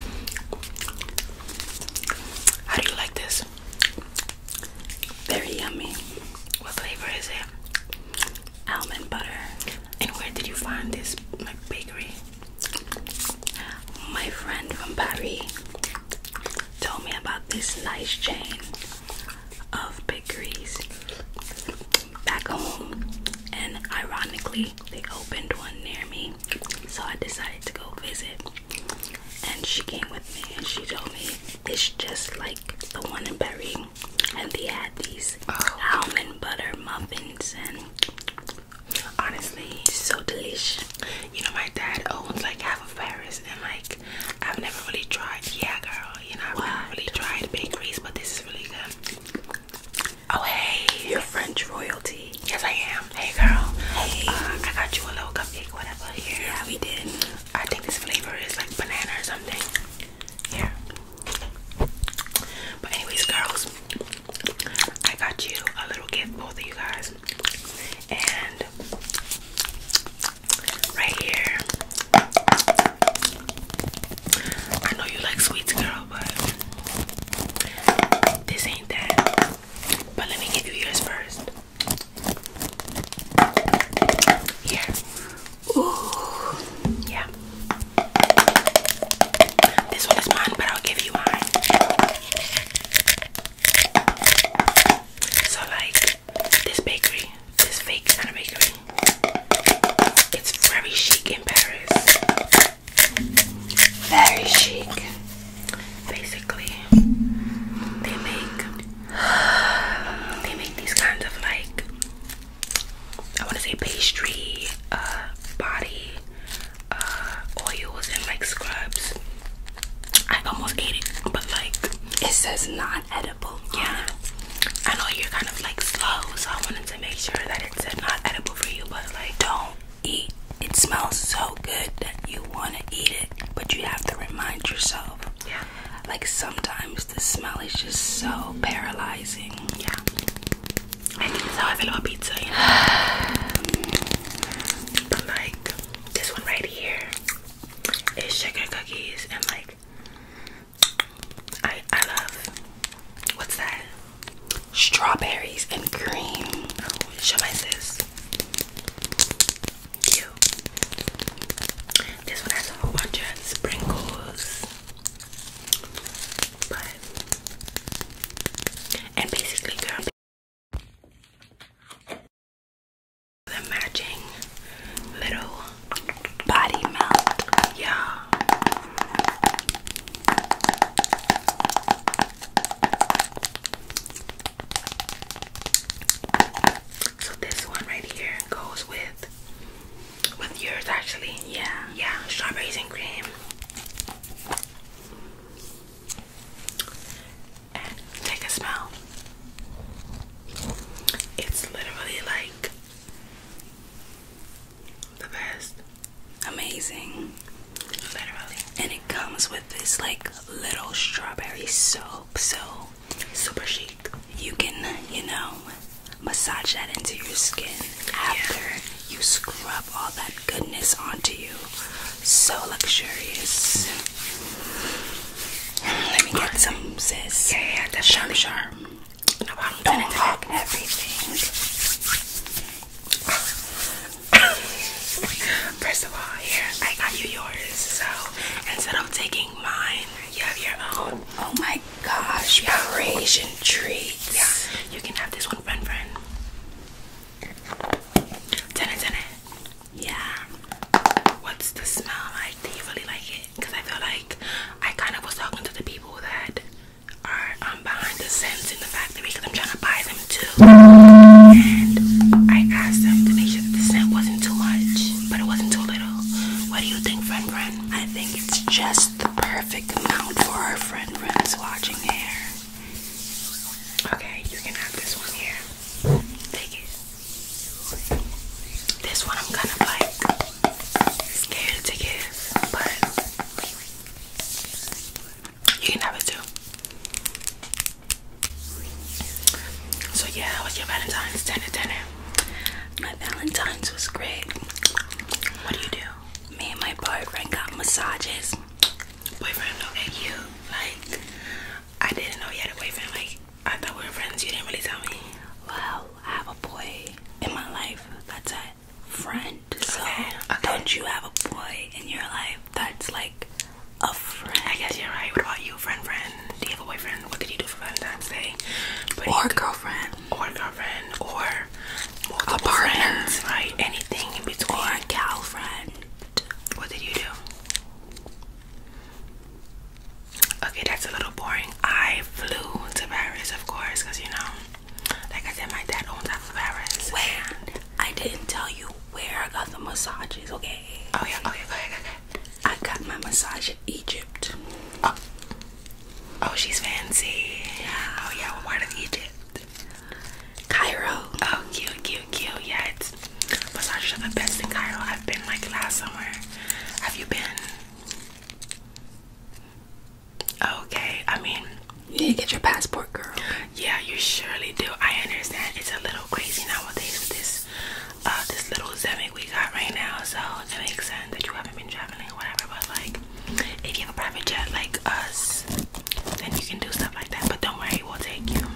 How do you like this? Very yummy. What flavor is it? Almond butter. And where did you find this my bakery? My friend from Paris told me about this nice chain of bakeries back home, and ironically, they opened one near me. So I decided to go visit. And she came with me and she told me it's just like the one in Paris, And they had these oh. almond butter muffins and honestly so delicious. You know my dad owns like half of Paris and like I've never really tried yeah girl, you know I've what? never really tried bakeries but this is really good. Oh hey, you're French royalty. Yes, I am. Hey girl. Hey. Uh, I got you a little cupcake, whatever. Here. Yeah, we did. I think this flavor is like banana or something. Here. But anyways, girls, I got you a little gift, both of you guys, and right here. I know you like sweets, girl, but this ain't that. But let me give you yours first. Here. Ooh. Yeah. This one is mine, but I'll give you mine. So like this bakery, this kind of bakery. It's very chic in Paris very chic. Basically, they make they make these kinds of like I want to say pastry, uh, body uh, oils and like scrubs. I almost ate it, but like it says not edible Yeah, I know you're kind of like slow, so I wanted make sure that it's not edible for you, but like don't eat. It smells so good that you want to eat it, but you have to remind yourself. Yeah. Like sometimes the smell is just so paralyzing. Yeah. I think that's how I feel about pizza, but like this one right here is sugar cookies and like I I love what's that? strawberries and cream. show my sis. This one has a sprinkles. and basically girl the matching little body melt. Yeah. So this one right here goes with with yours actually. Yeah. Yeah, strawberries and cream. take a smell. It's literally like the best. Amazing. Literally. And it comes with this like little strawberry soap, so super chic. You can, you know, massage that into your skin after you scrub all that goodness onto you. So luxurious. Mm-hmm. Let me get some, sis. Yeah, yeah, that's I'm gonna talk everything. First of all, here I got you yours. So instead of taking mine, you have your own. Oh my gosh, yeah. Parisian treats. Yeah, you can have this one, friend, friend. Ten it, ten Yeah. What's the smell like? Do really like it? Because I feel like I kind of was talking to the people that are I'm um, behind the scent in the factory because I'm trying to buy them too. And I asked them to make sure the scent wasn't too much, but it wasn't too little. What do you think, friend friend? I think it's just the perfect amount for our friend friend's watching hair. Okay, you can have this one here. Take it. This one I'm kind of like scared to give, but you can have it too. So yeah, how was your Valentine's dinner ten. My Valentine's was great. What do you do? Me and my boyfriend got massages. Boyfriend, look at you like I didn't know you had a boyfriend, like I thought we were friends, you didn't really tell me. Wow, I have a boy in my life that's a friend. So don't you have a boy in your life that's like a friend? I guess you're right. What about you, friend? Friend? Do you have a boyfriend? What did you do for Valentine's Day? But or girlfriend? Or girlfriend? Or a partner? Right? Anything in between? Or a gal What did you do? Okay, that's a little boring. I flew to Paris, of course, because you know, like I said, my dad owns half Paris. Where? I didn't tell you where I got the massages, okay? Oh, yeah, okay, go ahead, go ahead. I got my massage in Egypt. Oh, oh she's fancy. Oh, yeah, well, why did Egypt? Cairo. Oh, cute, cute, cute. Yeah, it's massage are the best in Cairo. I've been like last somewhere. Have you been? Okay, I mean, you get your passport, girl. Yeah, you surely do. I understand it's a little crazy nowadays with this, uh, this little Zemeck we got right now. So it makes sense that you haven't been traveling or whatever. But like, if you have a private jet like us, then you can do stuff like that. But don't worry, we'll take you.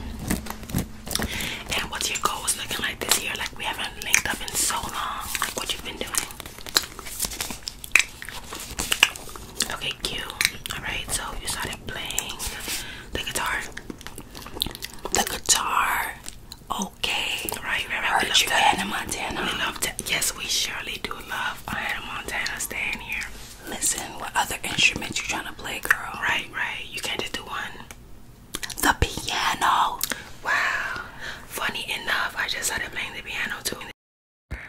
And what's your goals looking like this year? Like we haven't haven't linked up in so long. Like what you've been doing. Okay, cute. Alright, so you started playing the guitar. The guitar. Okay. Right, right, right. We love you that. Hannah Montana. We love that. Yes, we surely do love Hannah Montana staying here. Listen, what other instruments you trying to play, girl? Right, right. You can't just do one. The piano. Wow. Funny enough, I just started playing the piano too. Girl.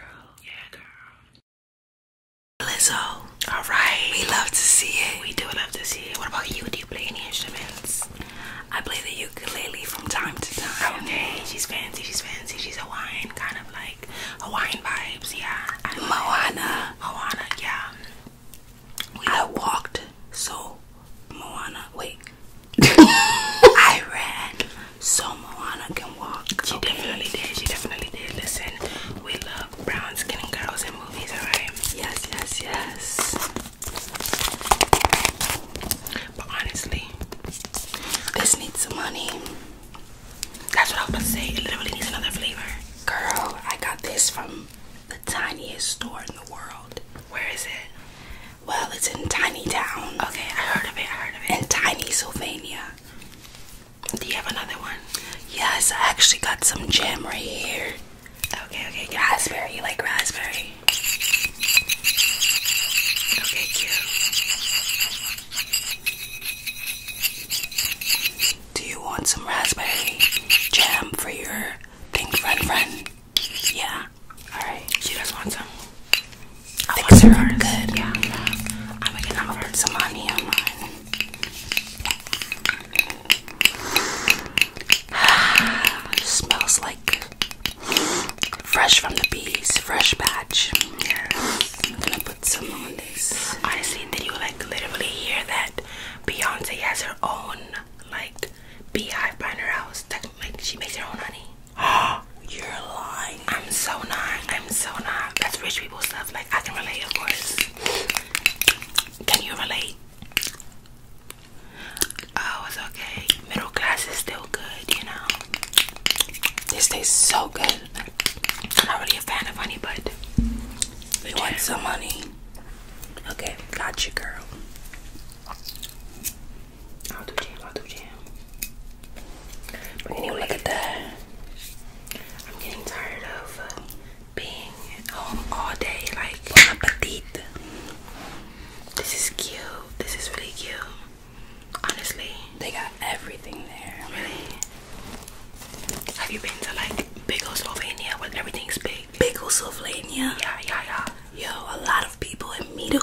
Yeah, girl. Lizzo. Alright. We love to see it. We do love to see it. What about you? Do you play any instruments? I play the ukulele from time to time. Okay, she's fancy, she's fancy, she's Hawaiian, kind of like Hawaiian vibes, yeah. I Moana. Moana, yeah. I walked so Moana. Wait. I ran so Moana can walk. She definitely did. She definitely did. Listen, we love brown skin girls in movies, alright? Yes, yes, yes. But honestly, this needs some money. That's what I was going to say. It literally needs another flavor. Girl, I got this from the tiniest store in the world. Where is it? Well, it's in Tiny Town. Okay, I heard of it. I heard of it. In Tiny, Sylvania. Do you have another one? Yes, I actually got some jam right here. Okay, okay. Raspberry. You like raspberry? Okay, cute. Do you want some raspberry jam for your Think, run, you. Run, Yeah. Alright. She just wants some? I think want yours. Good. Yeah. I'm going to put some on here on smells like fresh from the bees, fresh batch. Yes. I'm gonna put some on this. Honestly, did you like literally hear that Beyonce has her own like beehive behind her house. Like she makes her own honey. Oh, you're lying. I'm so not. I'm so not. That's rich people stuff. Like I can relate, of course. Can you relate? Oh, it's okay. Middle class is still good, you know. This tastes so good. I'm not really a fan of honey, but we want some money? Okay, got you, girl. I'll do jam, I'll do jam. But anyway, look at that. I'm getting tired of uh, being home all day, like my This is cute. This is really cute. Honestly, they got everything there. Really? Have you been to like Slovenia, where everything's big? Slovenia? Yeah, yeah, yeah. Yo, a lot of people in medium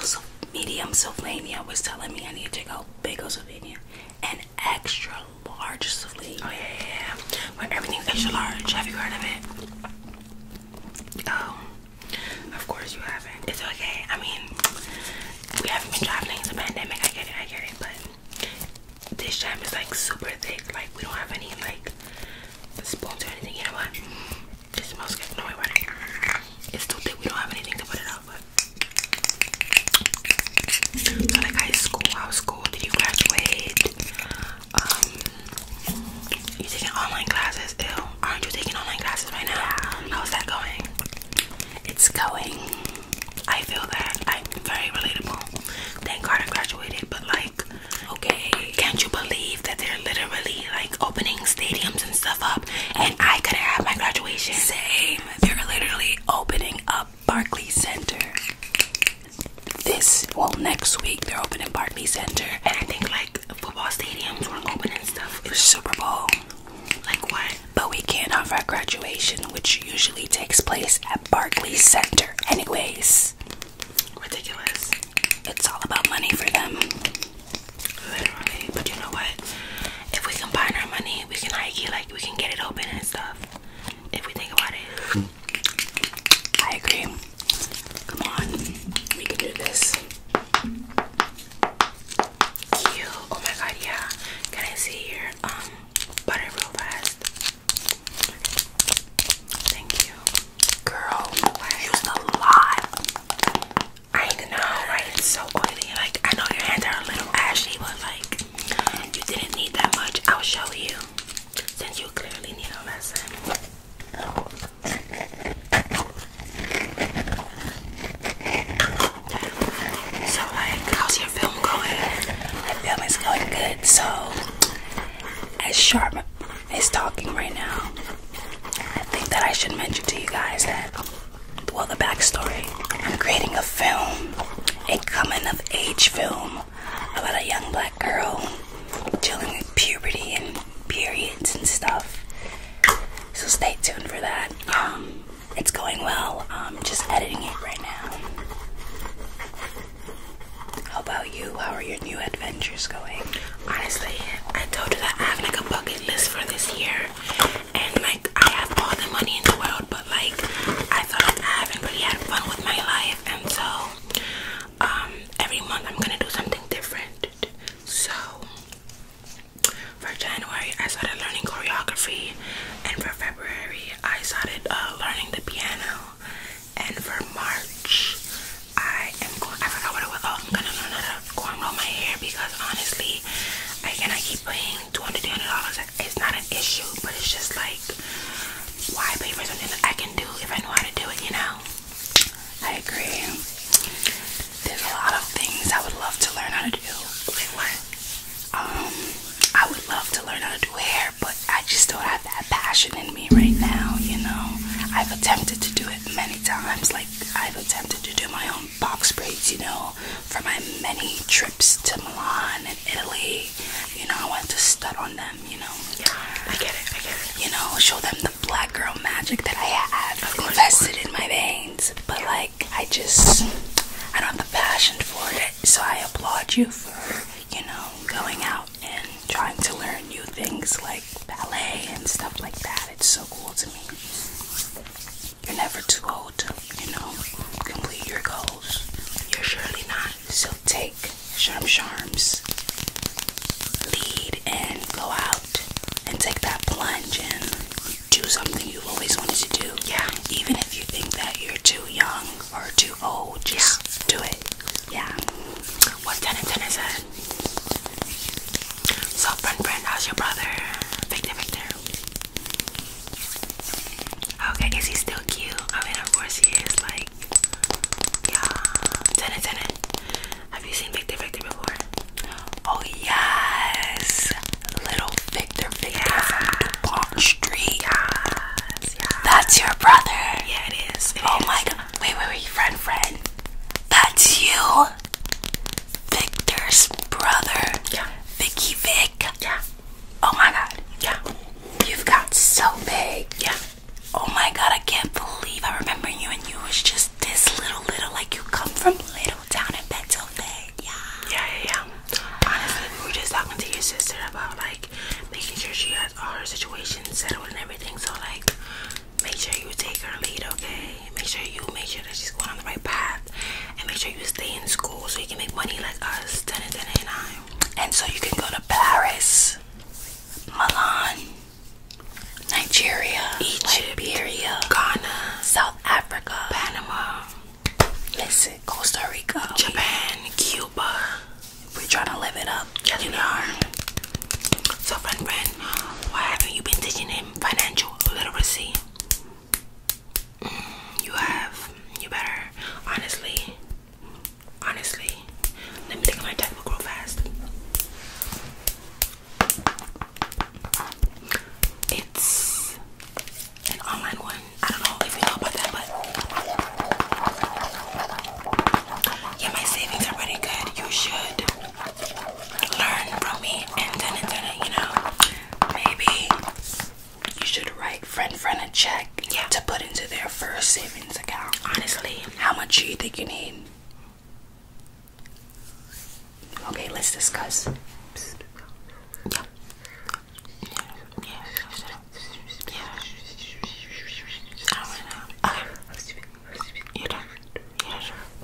Slovenia was telling me I need to check out Slovenia and extra large Slovenia. Oh, yeah, yeah, Where When everything's extra large. Have you heard of it? Um, of course you haven't. It's okay. I mean, we haven't been traveling. It's a pandemic. I get it, I get it. But this jam is like super thick. Like we don't have any like spoons or anything. You know what? It smells good. No, wait, wait. It's too thick. We don't have anything to put it out. But so like high school, how school did you graduate? Um, you taking online classes? Ew, aren't you taking online classes right now? How's that going? It's going. I feel that I'm very relatable. Thank God I graduated, but like, okay, can't you believe that they're literally like opening stadiums and stuff up and I could have my graduation? Same. They're literally opening up Barclays Center. This well next week they're opening Barclays Center. And I think like football stadiums were open and stuff. It's Super Bowl. Like what? But we can't have our graduation, which usually takes place at Barclays Center. Anyways, ridiculous. It's all about money for them. but you know what? If we combine our money, we can hike like we can get it open and stuff. If we think about it, I agree. Come on, we can do this. Cute. Oh my god, yeah. Can I see your um butter real fast? Thank you. Girl, used a lot. I know, right? It's so oily. Like, I know your hands are a little ashy, but like, you didn't need that much. I'll show you. Since you clearly need a lesson. So, like, how's your film going? My film is going good. So, as Sharp is talking right now, I think that I should mention to you guys that, well, the backstory. I'm creating a film, a coming of age film about a young black girl dealing with puberty and periods and stuff. So, stay tuned for that. Um, it's going well. I'm just editing it right now. How about you? How are your new adventures going? Honestly, I told you that I have like a bucket list for this year, and like I have all the money in the world, but like I thought I haven't really had fun with my life, and so um, every month I'm gonna do something different. So for January, I started learning choreography and for February I started uh, learning the piano, and for March I am going. I forgot what it was. Oh, I'm gonna learn how to cornrow my hair because honestly, I cannot keep paying two hundred, three hundred dollars. It's not an issue, but it's just like, why pay for something that I can do if I know how to do it? You know. I agree. There's a lot of things I would love to learn how to do. Like um, I would love to learn how to do hair, but I just don't have that passion in me right now, you know. I've attempted to do it many times, like I've attempted to do my own box braids, you know, for my many trips to Milan and Italy. You know, I want to stud on them, you know. Yeah, I get it, I get it. You know, show them the black girl magic that I have invested in my veins. But like I just I don't have the passion for it so I applaud you for, you know, going out and trying to learn new things like ballet and stuff like that. It's so cool to me. You're never too old to, you know, complete your goals. You're surely not. So take Sharm lead and go out and take that plunge and do something you've always wanted to do. Yeah. Even if you think that you're too young or too old, just yeah. do it. Yeah. What's 10 and 10 is it? So, friend, friend, how's your brother? Victor, Victor. Okay, is he still cute? I mean, of course he is. Like, yeah. 10 and 10. Have you seen Victor, Victor before? Oh, yes. Little Victor Victor yeah. from DuPont Street. Yes, yes. That's your brother. Yeah, it is. It oh is. my god. Wait, wait, wait, friend, friend. That's you. Victor's brother. Yeah. Vicky Vic. Yeah. Oh my god. Yeah. You've got so big. Yeah. Oh my god, I can't believe I remember you and you was just this little little like you come from little town in Pennsylvania. Yeah, yeah, yeah. Honestly, we are just talking to your sister about like making sure she has all her situations settled and everything. So like, make sure you take her lead, okay? Make sure you make sure that she's going on the right path, and make sure you stay in school so you can make money like us. Ten and and nine. And so you can go to Paris, Milan, Nigeria, Egypt, Liberia, Ghana, South Africa, Panama. Listen, Costa Rica, Japan, Cuba. We're trying to live it up. Yes, you Are. So, friend, friend, why haven't you been teaching him financial literacy? Mm, you have. You better. Honestly, honestly. Let me take my textbook real fast. It's an online one. I don't know if you know about that, but yeah, my savings are pretty good. You should learn from me and you know, maybe you should write friend friend a check yeah. to put into their first savings account. Honestly, how much do you think you need? Okay, let's discuss. 30,000.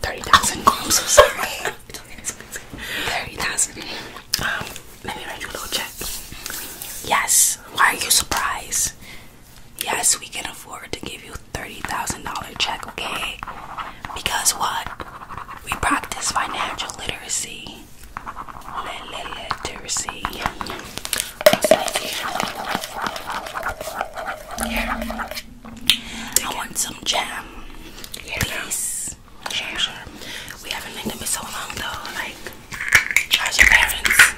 grams. I'm so sorry. it's 30,000. Um, let me write you a little check. Yes. Why are you surprised? Yes, we can afford to give you $30,000 check, okay? Because what? we practice financial literacy. Literacy. I want some jam. Yeah. Please. We haven't been them in so long though. Like, how's your parents?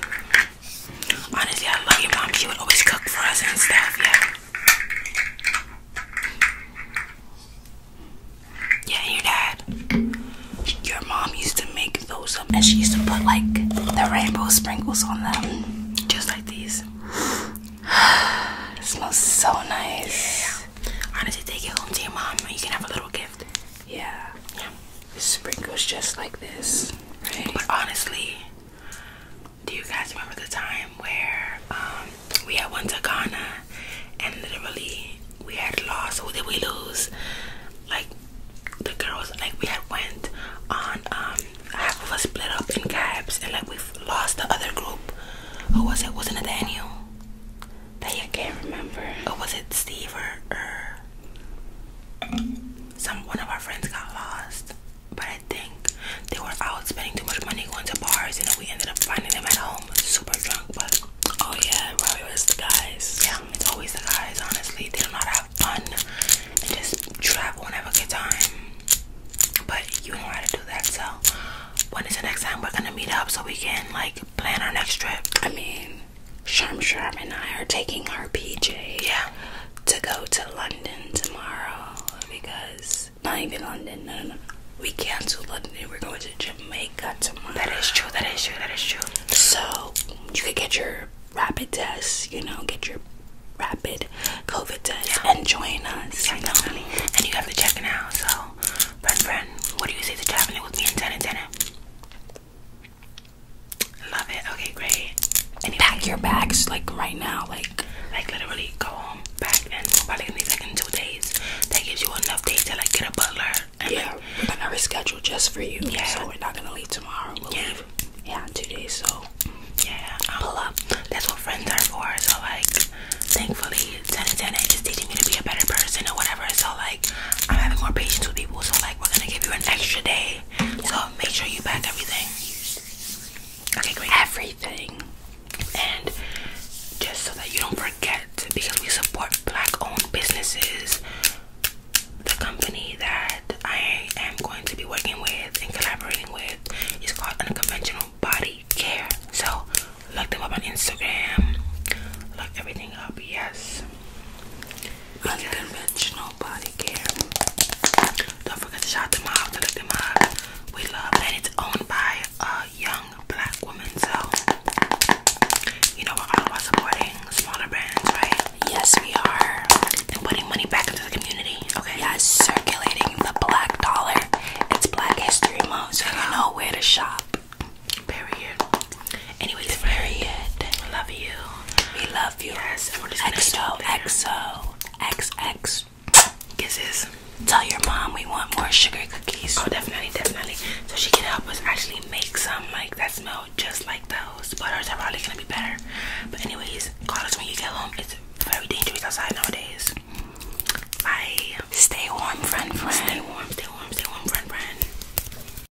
Honestly, I love your mom. She would always cook for us and stuff. Yeah. Yeah, your dad. Your mom used to make those um, and she used to put like the rainbow sprinkles on them. Just like these. it smells so nice. Yeah. Honestly, take it home to your mom and you can have a little gift. Yeah. Yeah. It sprinkles just like this. Right. But honestly, do you guys remember the time where um, we had went to Ghana and literally we had lost? Who did we lose? Like the girls, like we had went on um, half of us split up in cabs and like we've lost the other group. Who was it? Wasn't it Daniel? That you can't remember. Or was it Steve or some one of our friends got lost but I think they were out spending too much money going to bars, and we ended up finding them at home super drunk. But oh yeah, it probably the guys. Yeah, it's always the guys. Honestly, they don't have fun and just travel and have a good time. But you know how to do that. So when is the next time we're gonna meet up so we can like plan our next trip? I mean, Sharm Sharm and I are taking our PJ. Yeah. To go to London tomorrow because not even London. No, no, no. We canceled London. we're going to Jamaica tomorrow. That is true. That is true. That is true. So you could get your rapid test. You know, get your rapid COVID test and join us. I know, honey. And you have to check it out. So, friend, friend, what do you say to traveling with me in ten and Love it. Okay, great and pack your bags like right now, like like literally go home, back, and probably gonna be back in two days. That gives you enough days to like get a butler. yeah, like, we're gonna reschedule just for you. Yeah, so we're not gonna leave tomorrow. We'll yeah. Yeah, in two days. So yeah, um, pull up. That's what friends are for. So like, thankfully, ten ten is teaching me to be a better person or whatever. So like, I'm having more patience with people. So like, we're gonna give you an extra day. So make sure you pack everything. Okay, great. Everything. And just so that you don't forget, because we support black owned businesses, the company that I am going to be working with and collaborating with is called Unconventional Body Care. So look them up on Instagram, look everything up, yes. Unconventional Body Care. Don't forget to shout them out, to look them up. We love that it's owned by a young black woman, so you know we're all about supporting smaller brands, right? Yes, we are. And putting money back into the community. Okay. Yes, circulating the black dollar. It's Black History Month, so you know where to shop. Period. Anyways, period. Love you. We love you. exo, exo. XX kisses. Tell your mom we want more sugar cookies. Oh, definitely, definitely. So she can help us actually make some like that smell just like those. But ours are probably gonna be better. But anyways, call us when you get home. It's very dangerous outside nowadays. Bye. Stay warm, friend, friend. Stay warm, stay warm, stay warm, friend, friend.